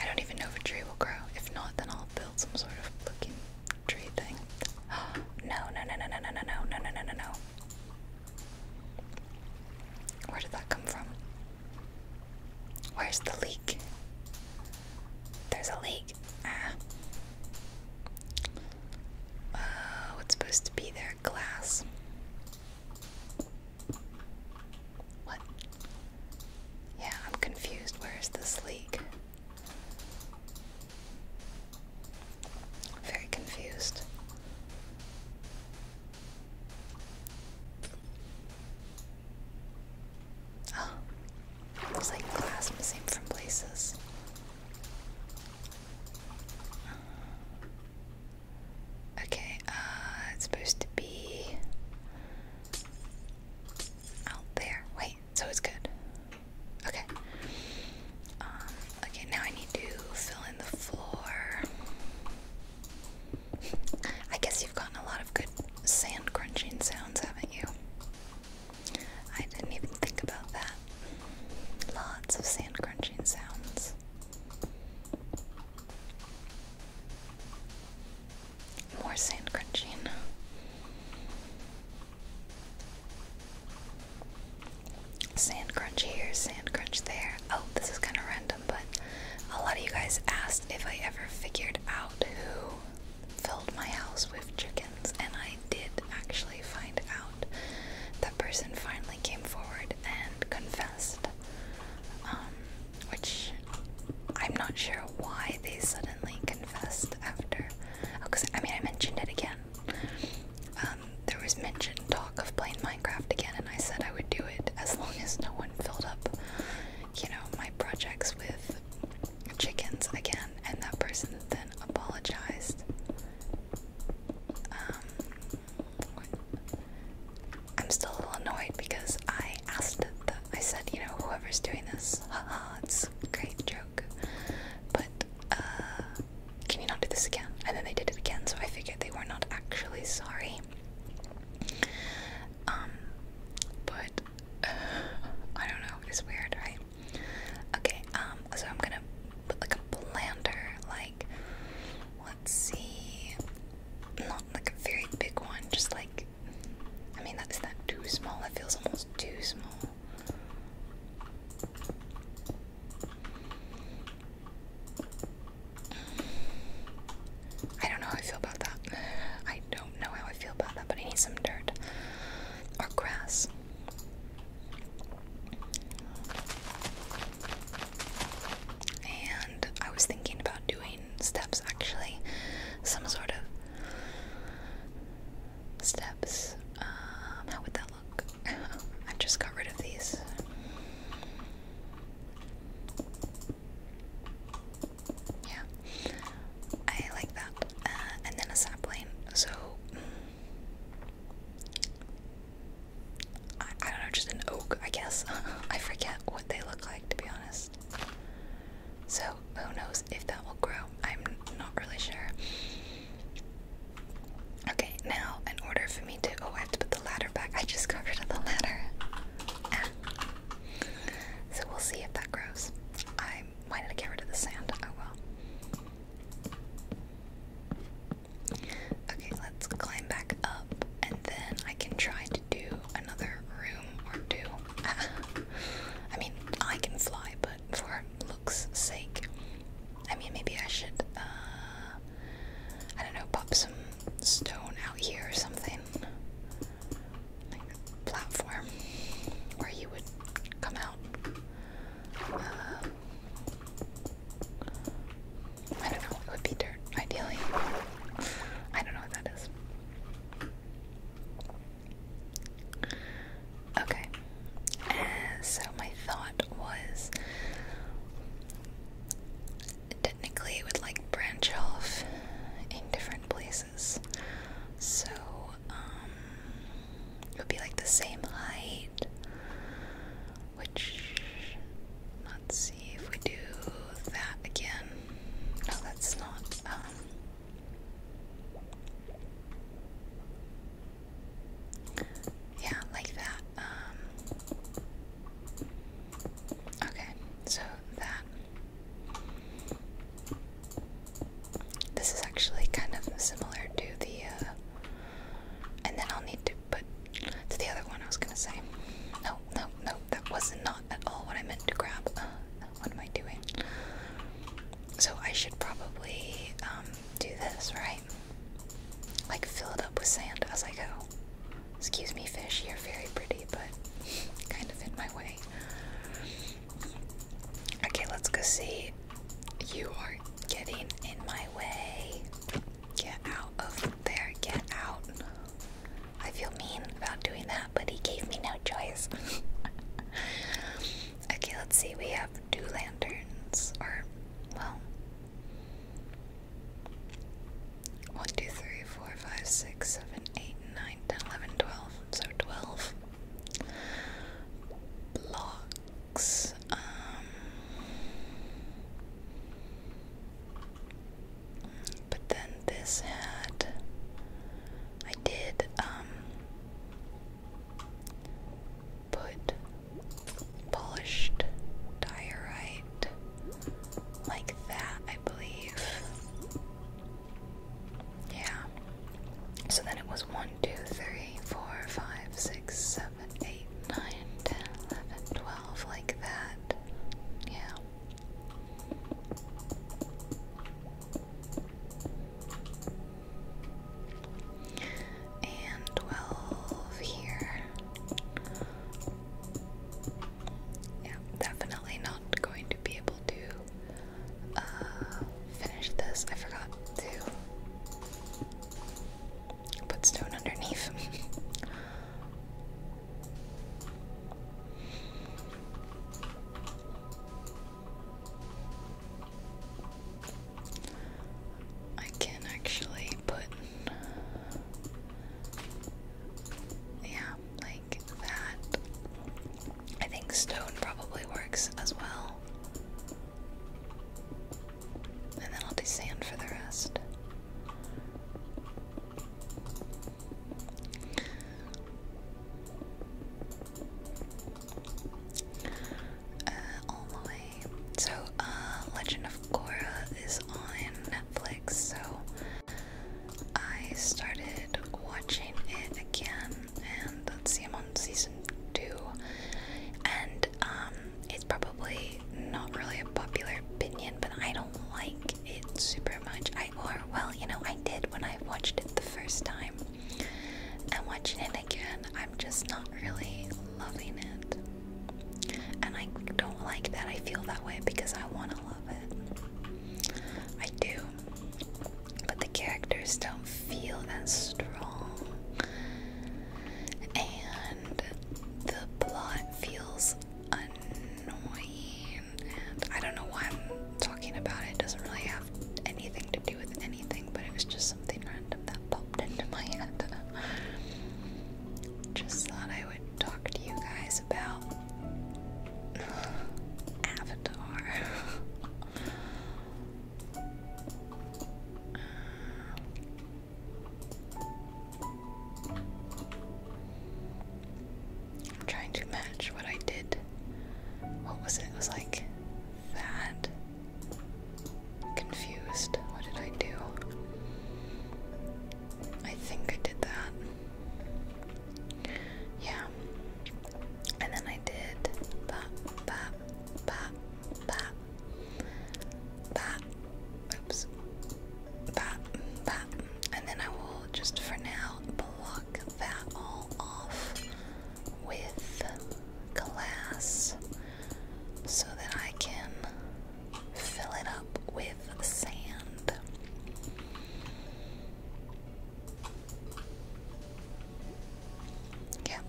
I don't even know if a tree will grow. If not, then I'll build some sort of looking tree thing. no, no, no, no, no, no, no, no, no, no, no, no, Where did that come from? Where's the leak? There's a leak. Ah. Uh, what's supposed to be there? Glass. What? Yeah, I'm confused. Where is this leak? Very confused. Oh, looks like glass missing from places. Okay, uh, it's supposed to be out there. Wait, so it's good. Okay. Um, okay, now I need to fill in the floor. I guess you've gotten a lot of good sand crunching sounds, haven't you? I didn't even think about that. Lots of sand crunching sounds. More sand crunching. Sand crunch here, sand crunch there. Oh, this is kind of random, but a lot of you guys asked if I ever figured out who filled my house with chickens, and I did actually find out. That person finally came forward and confessed. Um, which I'm not sure why they suddenly confessed after. Because oh, I mean, I mentioned it again. Um, there was mentioned talk of playing Minecraft again, and I said I would do it as long as no one filled up, you know, my projects with chickens again. And that person then apologized. Um, I'm still a little annoyed because I asked the, I said, you know, whoever's doing this, haha, it's a great joke, but uh, can you not do this again? And then they did it again, so I figured they were not actually sorry. Um, but I don't know, it's weird, right? Okay, um, so I'm gonna put like a blender, like, let's see, not like a very big one, just like I mean that's not too small, that feels almost too small. I don't know how I feel about that. I don't know how I feel about that, but I need some dirt or grass. And I was thinking about doing steps actually. Some sort of steps. Um, how would that look? I just got rid of these. Yeah, I like that. Uh, and then a sapling. So, mm. I, don't know, just an oak, I guess. I forget what they look like, to be honest. So, who knows if that will grow? I'm not really sure. Okay, now, in order for me to. Oh, I have to put the ladder back. I just got rid of the ladder. Ah. So, we'll see if that grows. I. Why did I get rid of the sand? Oh well. Okay, let's climb back up and then I can try do another room or two. I mean, I can fly, but for looks' sake, I mean, maybe I should, uh, I don't know, pop some stone out here or something. platform where you would come out. Uh, I don't know, it would be dirt, ideally. I don't know what that is. Okay, uh, so my thought was technically it would like branch off in different places. So, um, it would be like the same height, which, not if we do that again. No, that's not. Um, yeah, like that. Um, okay, so that. This is actually kind of similar to the. Uh, and then I'll need to put to the other one I was gonna say. No, no, no, that was not not at all what I meant to grab. Uh, what am I doing? So I should probably um, do this, right? Like fill it up with sand as I go. Excuse me, fish, you're very pretty, but kind of in my way. Okay, let's go see. You are getting in my way. Get out of there. Get out. I feel mean about doing that, but he gave me no choice. okay, let's see. We have two lanterns, or, well, one, two, three, four, five, six, seven, eight, nine, ten, eleven, twelve. So twelve blocks. Um, but then this had I did um put polished diorite like that, I believe. Yeah. So then it was 1, like that. Yeah and 12 here. Yeah, definitely not going to be able to uh, finish this. I forgot to put stone underneath. I can actually put, yeah, like that. I think stone probably works as well. And then I'll do sand for the rest. Uh, so, uh, Legend of Korra is on Netflix, so I started watching it again, and let's see, I'm on season two, and um, it's probably not really a popular opinion, but I don't like it super much. I or well, you know, I did when I watched it the first time. And watching it again, I'm just not really loving it. And I don't like that I feel that way because I want to love it. I do. But the characters don't feel that strong. And the plot feels annoying, and I don't know why I'm talking about it. doesn't really have anything to do with anything, but it was just something random that popped into my head. Just thought I would talk to you guys about Avatar. Um, I'm trying to match what I did. What was it? It was like that. Confused. What did I do? I think I did that. Yeah. And then I did that, that, that, that, that and then I will just for now block that all off with glass so that I can fill it up with sand. Yep.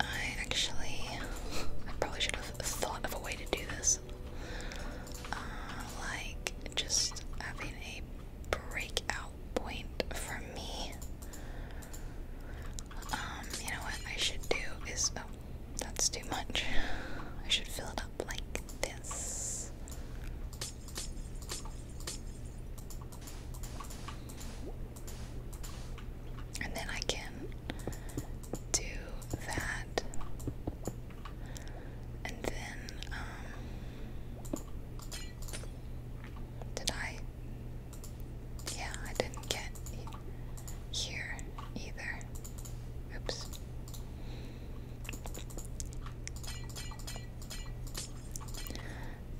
I actually, I probably should have thought of a way to do this. Uh, like just having a breakout point for me. Um, you know what I should do is, oh, that's too much. I should fill it up like this. And then I can do that. And then, um, did I? Yeah, I didn't get here either. Oops.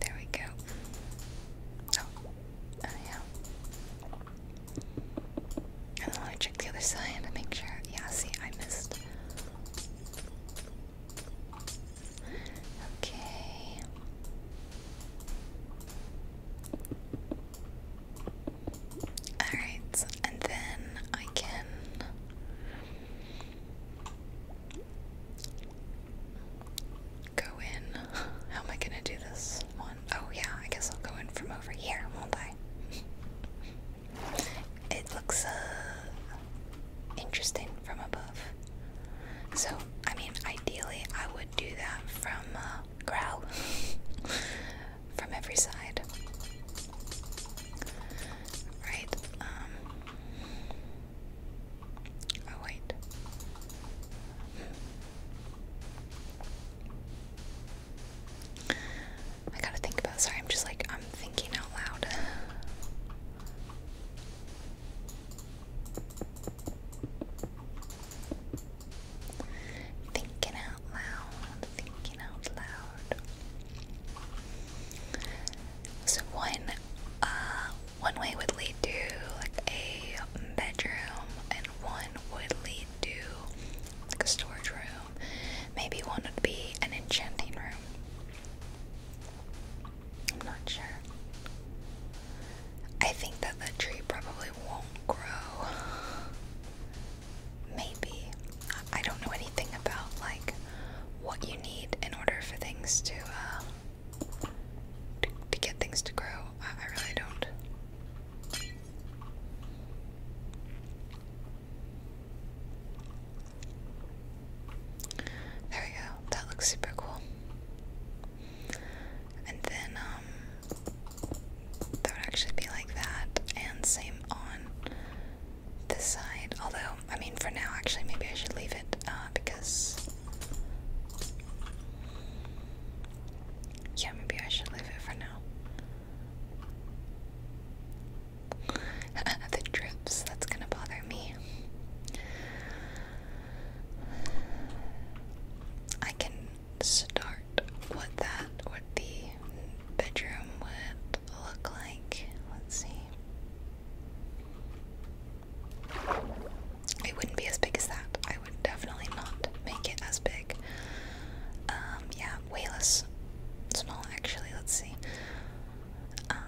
There we go. Oh, oh yeah. I want to check the other side to make sure. Yeah, see, I missed. Okay. Alright, and then I can. Go in. How am I gonna do this one? Oh, yeah, I guess I'll go in from over here, won't I? it looks uh, interesting from above. So, I mean, ideally, I would do that from uh, growl from every side. Right, um, Oh, wait. I gotta think about sorry, I'm just like I'm thinking out loud. Thinking out loud, thinking out loud. So one, uh, one way would lead to like a bedroom, and one would lead to like a storage room. Maybe one would be an enchanting room. I'm not sure. I think that the tree probably won't grow. Maybe. I don't know anything about like what you need in order for things to um, to, get things to grow. I really don't. There we go. That looks super cool and then um, that would actually be like that and same on this side although I mean for now actually maybe I should leave it uh, because yeah maybe I should leave it for now the drips that's gonna bother me I can start what that what the bedroom would look like. Let's see. It wouldn't be as big as that. I would definitely not make it as big. Um, yeah, way less small actually. Let's see. Um,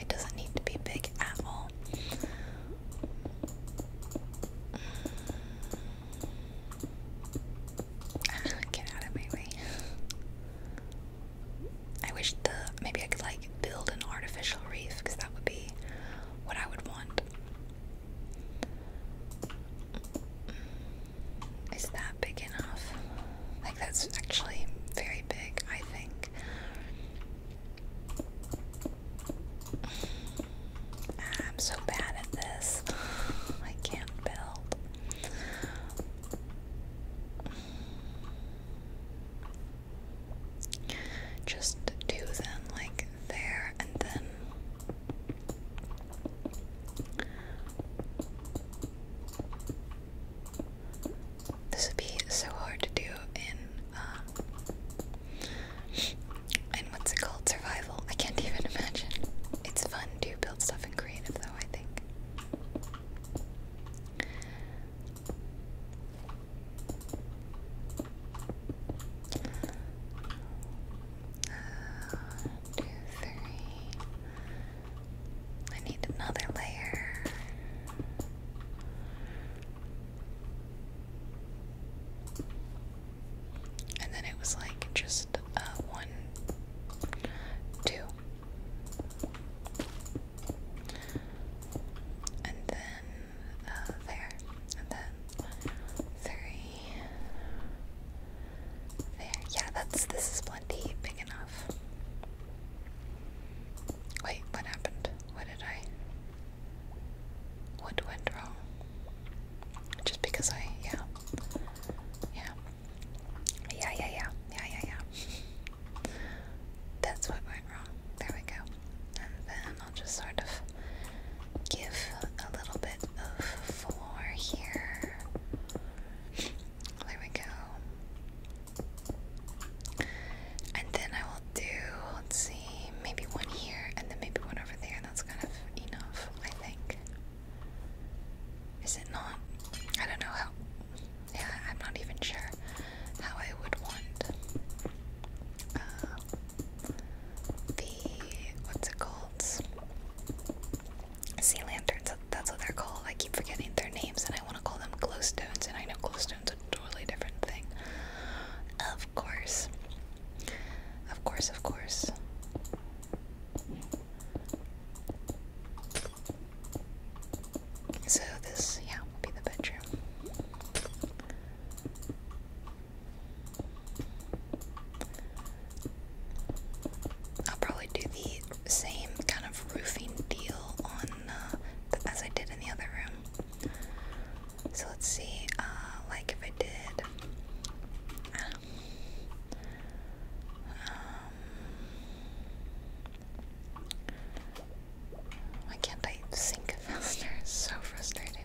it doesn't need to be big at all. Get out of my way. I wish the maybe I could like build an artificial reef because that would be what I would want is that big enough? Like, that's actually very big, I think. I'm so bad at this. I can't build. Just do them like there and then this would be so hard to do in, um, in what's it called? Survival. I can't even imagine. It's fun to build stuff and creative, though, I think. Uh, one, two, three. I need another layer. And then it was like just uh, one, two. And then uh, there. And then three yeah, that's this is plenty big enough. Wait, what happened? What did I? What went wrong? Just because I, yeah, yeah, yeah, yeah, yeah, yeah, yeah. That's what went wrong. There we go. And then I'll just sort of give a little bit of floor here. There we go. And then I will do, let's see, maybe one here and then maybe one over there. That's kind of enough, I think. Is it not? I don't know how. Yeah, I'm not even sure how I would want uh, the what's it called? sea lanterns. That's what they're called. I keep forgetting their names, and I want to call them glowstones. And I know glowstones are a totally different thing. Of course, of course, of course. So this, yeah, will be the bedroom. I'll probably do the same kind of roofing deal on uh, as I did in the other room. So let's see, uh, like if I did, um, why can't I sink faster? so frustrating.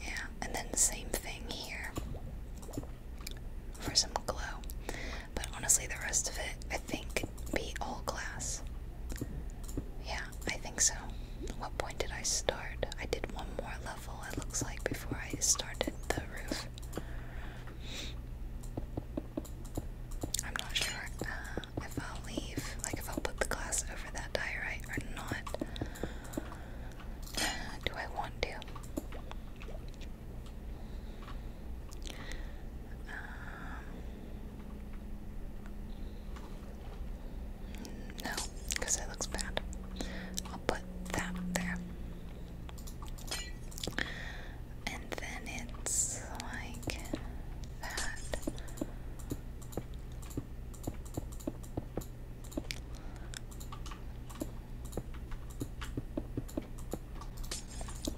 yeah, and then same thing here for some glow. But honestly, the rest of it, I think, be all glass. Yeah, I think so. What point did I start? I did one more level, it looks like, before I started the roof. I'm not sure uh, if I'll leave, like if I'll put the glass over that diorite or not do I want to? Um, no, because it looks bad. I'll put that there. And then it's like that.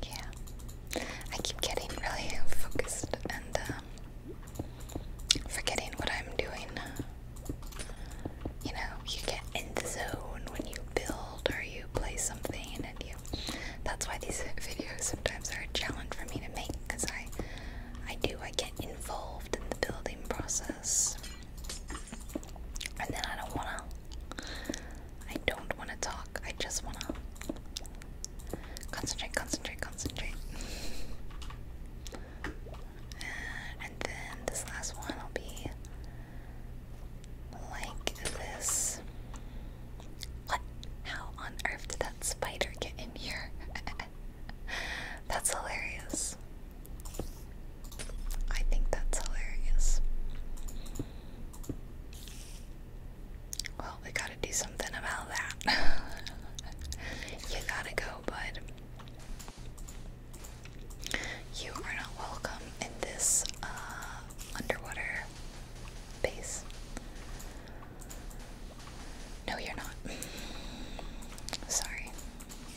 Yeah, I keep getting really focused and um, forgetting what I'm doing. You know, you get in the zone when you build or you play something, and you. That's why these videos sometimes are a challenge for me to make because I, I do I get involved in the building process. And then I don't wanna. I don't wanna talk. I just wanna concentrate, concentrate, concentrate. And then this last one will be like this. What? How on earth did that spider get in here? That's hilarious. I think that's hilarious. Well, we gotta do something about that. you gotta go, bud. You are not welcome in this uh, underwater base. No, you're not. Sorry. Okay.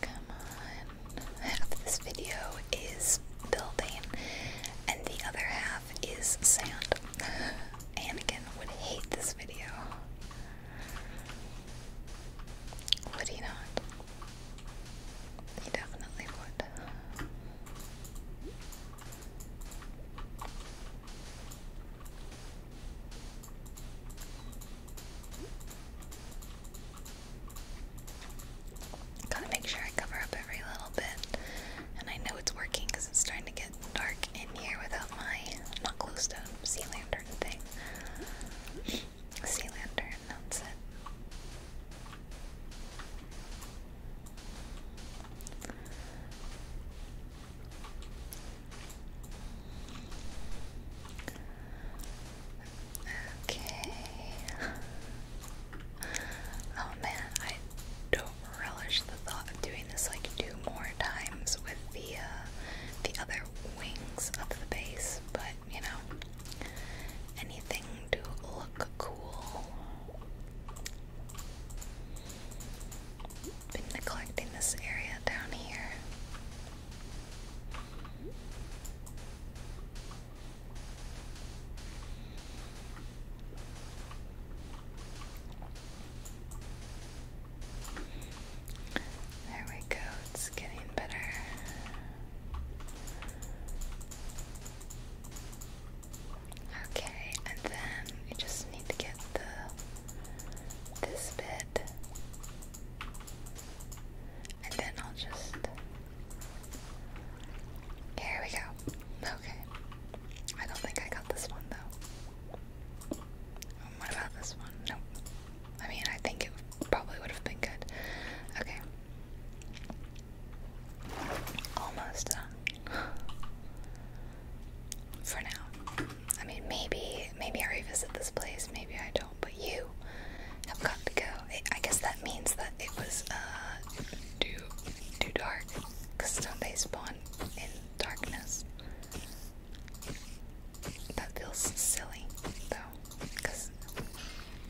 Come on. Half this video is building, and the other half is sand. Anakin would hate this video. Would he not? He definitely would. Gotta make sure I cover up every little bit. And I know it's working because it's starting to dark in here without my not glowstone sea thing. Sea lantern, Okay. Oh man, I don't relish the thought of doing this like two more times with the uh, the other wings of the base, but you know, anything to look cool. Been neglecting this area down here. There we go, it's getting better. Okay, and then we just need to get the this bit. And then I'll just Here we go. Okay. I don't think I got this one though. what about this one? Nope. I mean, I think it probably would have been good. Okay. Almost done. For now. I mean, maybe, maybe I revisit this place, maybe I don't, but you have got to go. I guess that means that it was, uh, too, too dark. Because don't they spawn in darkness. That feels silly, though, because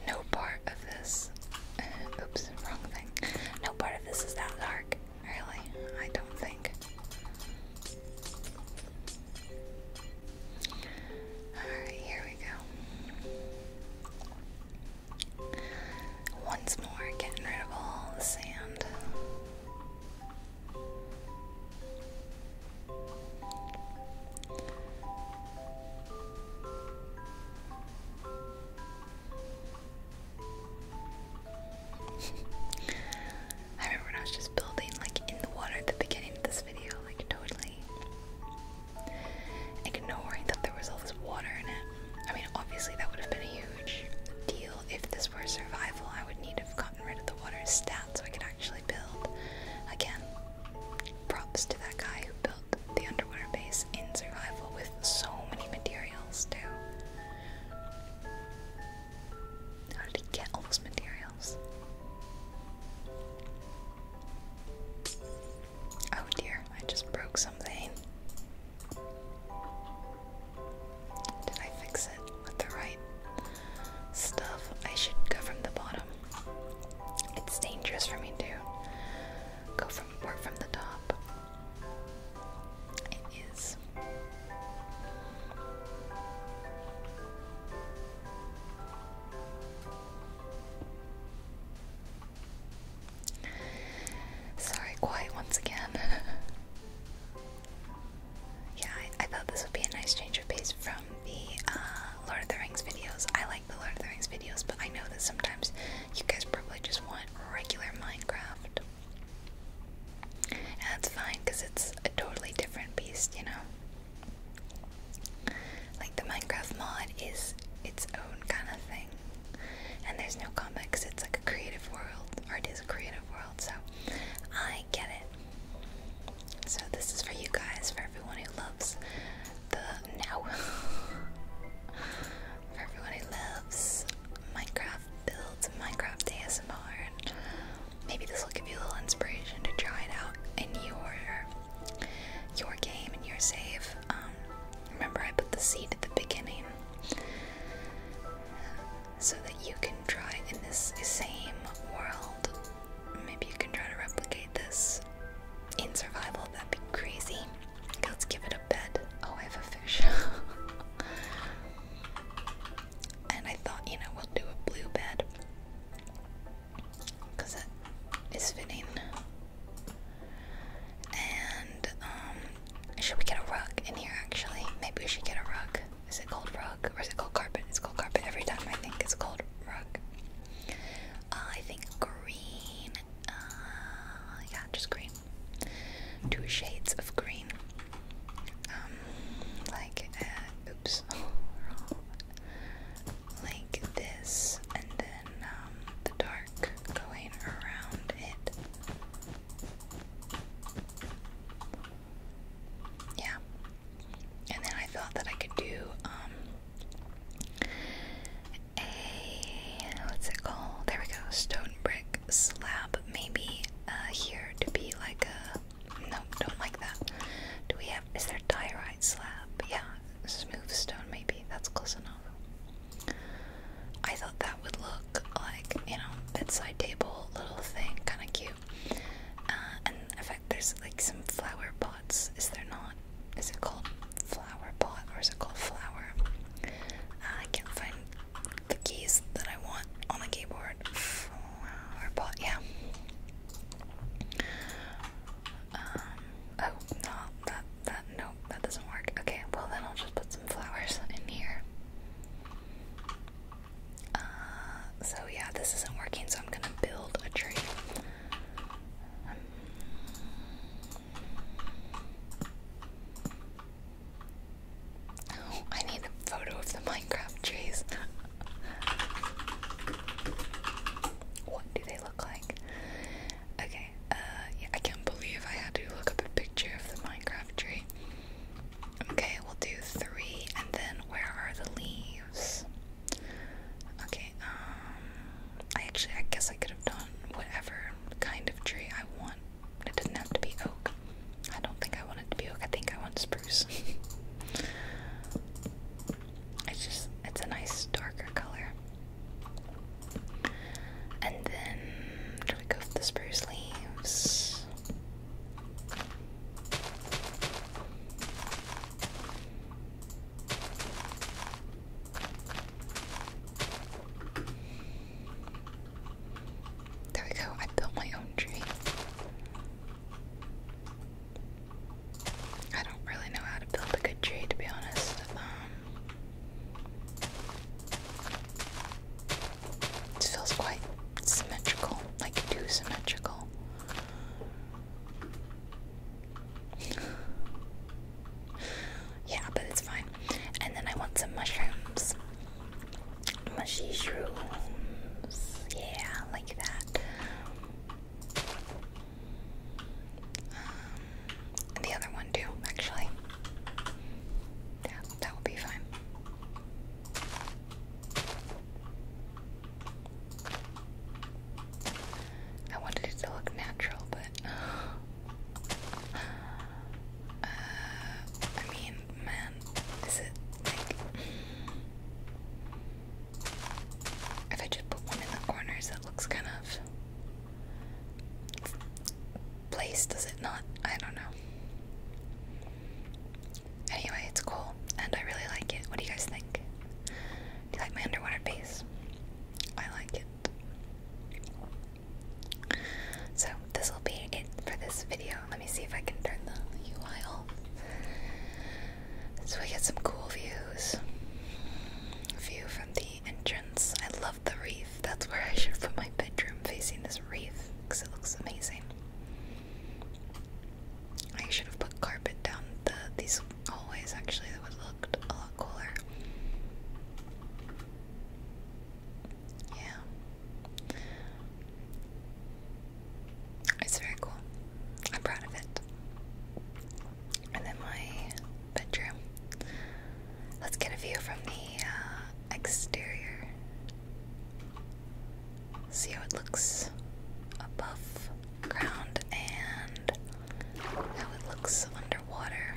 no part of this. Uh, oops, wrong thing. No part of this is that dark, really. I don't think. Alright, here we go. Once more, getting rid of all the sand. I remember I was just building like in the water at the beginning of this video, like totally ignoring that there was all this water in it. I mean, obviously that would have been a huge deal if this were survival, I would need to have gotten rid of the water stat so I could actually build. Again, props to that guy who built the underwater base in survival with so many materials, too. How did he get all those materials? Oh dear, I just broke something. Did I fix it with the right stuff? I should go from the bottom. It's dangerous for me to go from work from the top. It is. Sorry, quiet once again. yeah, I, thought this would be a nice change of pace from the uh, Lord of the Rings videos. I like the Lord of the Rings videos, but I know that sometimes you guys probably just want regular Minecraft. And that's fine because it's a totally different beast, you know? Like the Minecraft mod is its own kind of thing and there's no comics. It's like a creative world. Art is a creative world, so I get it. So this is for you guys, for everyone who loves the now, for everyone who loves Minecraft builds, Minecraft ASMR, maybe this will give you a little inspiration to try it out in your your game and your save. Um, remember, I put the seed at the beginning so that you can try in this same world. Maybe you can try to replicate this in survival. That'd be crazy. let's give it a bed. Oh, I have a fish. and I thought, you know, we'll do a blue bed. Because that is fitting. And um, should we get a rug in here actually? Maybe we should get a rug. Is it called rug or is it called carpet? It's called carpet every time I think it's called rug. Uh, I think green. Uh, yeah, just green. Two shades of green. Um, like, uh, oops, Like this, and then um, the dark going around it. Yeah. And then I thought that I could do um, a what's it called? There we go, stone brick slab maybe uh, here to be like a no, don't like that. Do we have is there diorite slab? Yeah, smooth stone maybe. That's close enough. I thought that would look like, you know, bedside table little thing, kind of cute. Uh, and in fact, there's like some flower pots. Is there not? Is it called flower pot or is it called flower? I can't find the keys that I want on the keyboard. Flower pot, yeah. Um, oh, no, that, that, no, that doesn't work. Okay, well then I'll just put some flowers in here. Uh, so yeah, this isn't working, so I'm gonna build a tree. Oh, I need a photo of the Minecraft trees. what do they look like? Okay, uh, yeah, I can't believe I had to look up a picture of the Minecraft Crabtree. Okay, we'll do three, and then where are the leaves? Okay, um, I actually, I guess I could have done whatever kind of tree I want. It doesn't have to be oak. I don't think I want it to be oak. I think I want spruce. it's just, it's a nice darker color. And then where we go the spruce leaves? There we go. I built my own tree. I don't really know how to build a good tree, to be honest. Um, it feels quite symmetrical, like too symmetrical. yeah, but it's fine. And then I want some mushrooms. Mushrooms. Yeah, like that. Um, the other one too, actually. Yeah, that will be fine. I wanted it to look natural, but uh, I mean, man, is it like if I just put one in the corners, it looks kind of place, does it not? I don't know. Anyway, it's cool, and I really like it. What do you guys think? Do you like my underwater base? I like it. So, this will be it for this video. Let me see if I can turn the UI off. So, we get some cool views. View from the entrance. I love the reef. That's where I should put my bedroom facing this reef because it looks amazing. I should have put carpet down the these hallways actually that would looked a lot cooler. Yeah. It's very cool. I'm proud of it. And then my bedroom. Let's get a view from the uh, exterior. See how it looks above ground and how it looks underwater.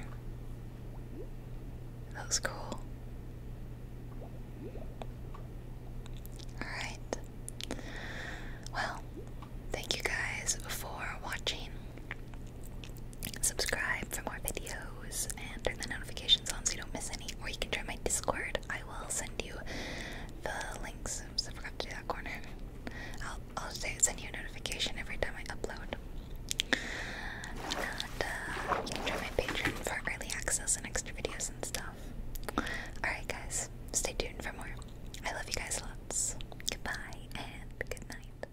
That was cool. Alright. Well, thank you guys for watching subscribe for more videos and turn the notifications on so you don't miss any. Or you can join my Discord. I will send you the links. Oops, I forgot to do that corner. I'll I'll say send you a notification every time I upload. And uh, join my Patreon for early access and extra videos and stuff. Alright guys, stay tuned for more. I love you guys lots. Goodbye and good night.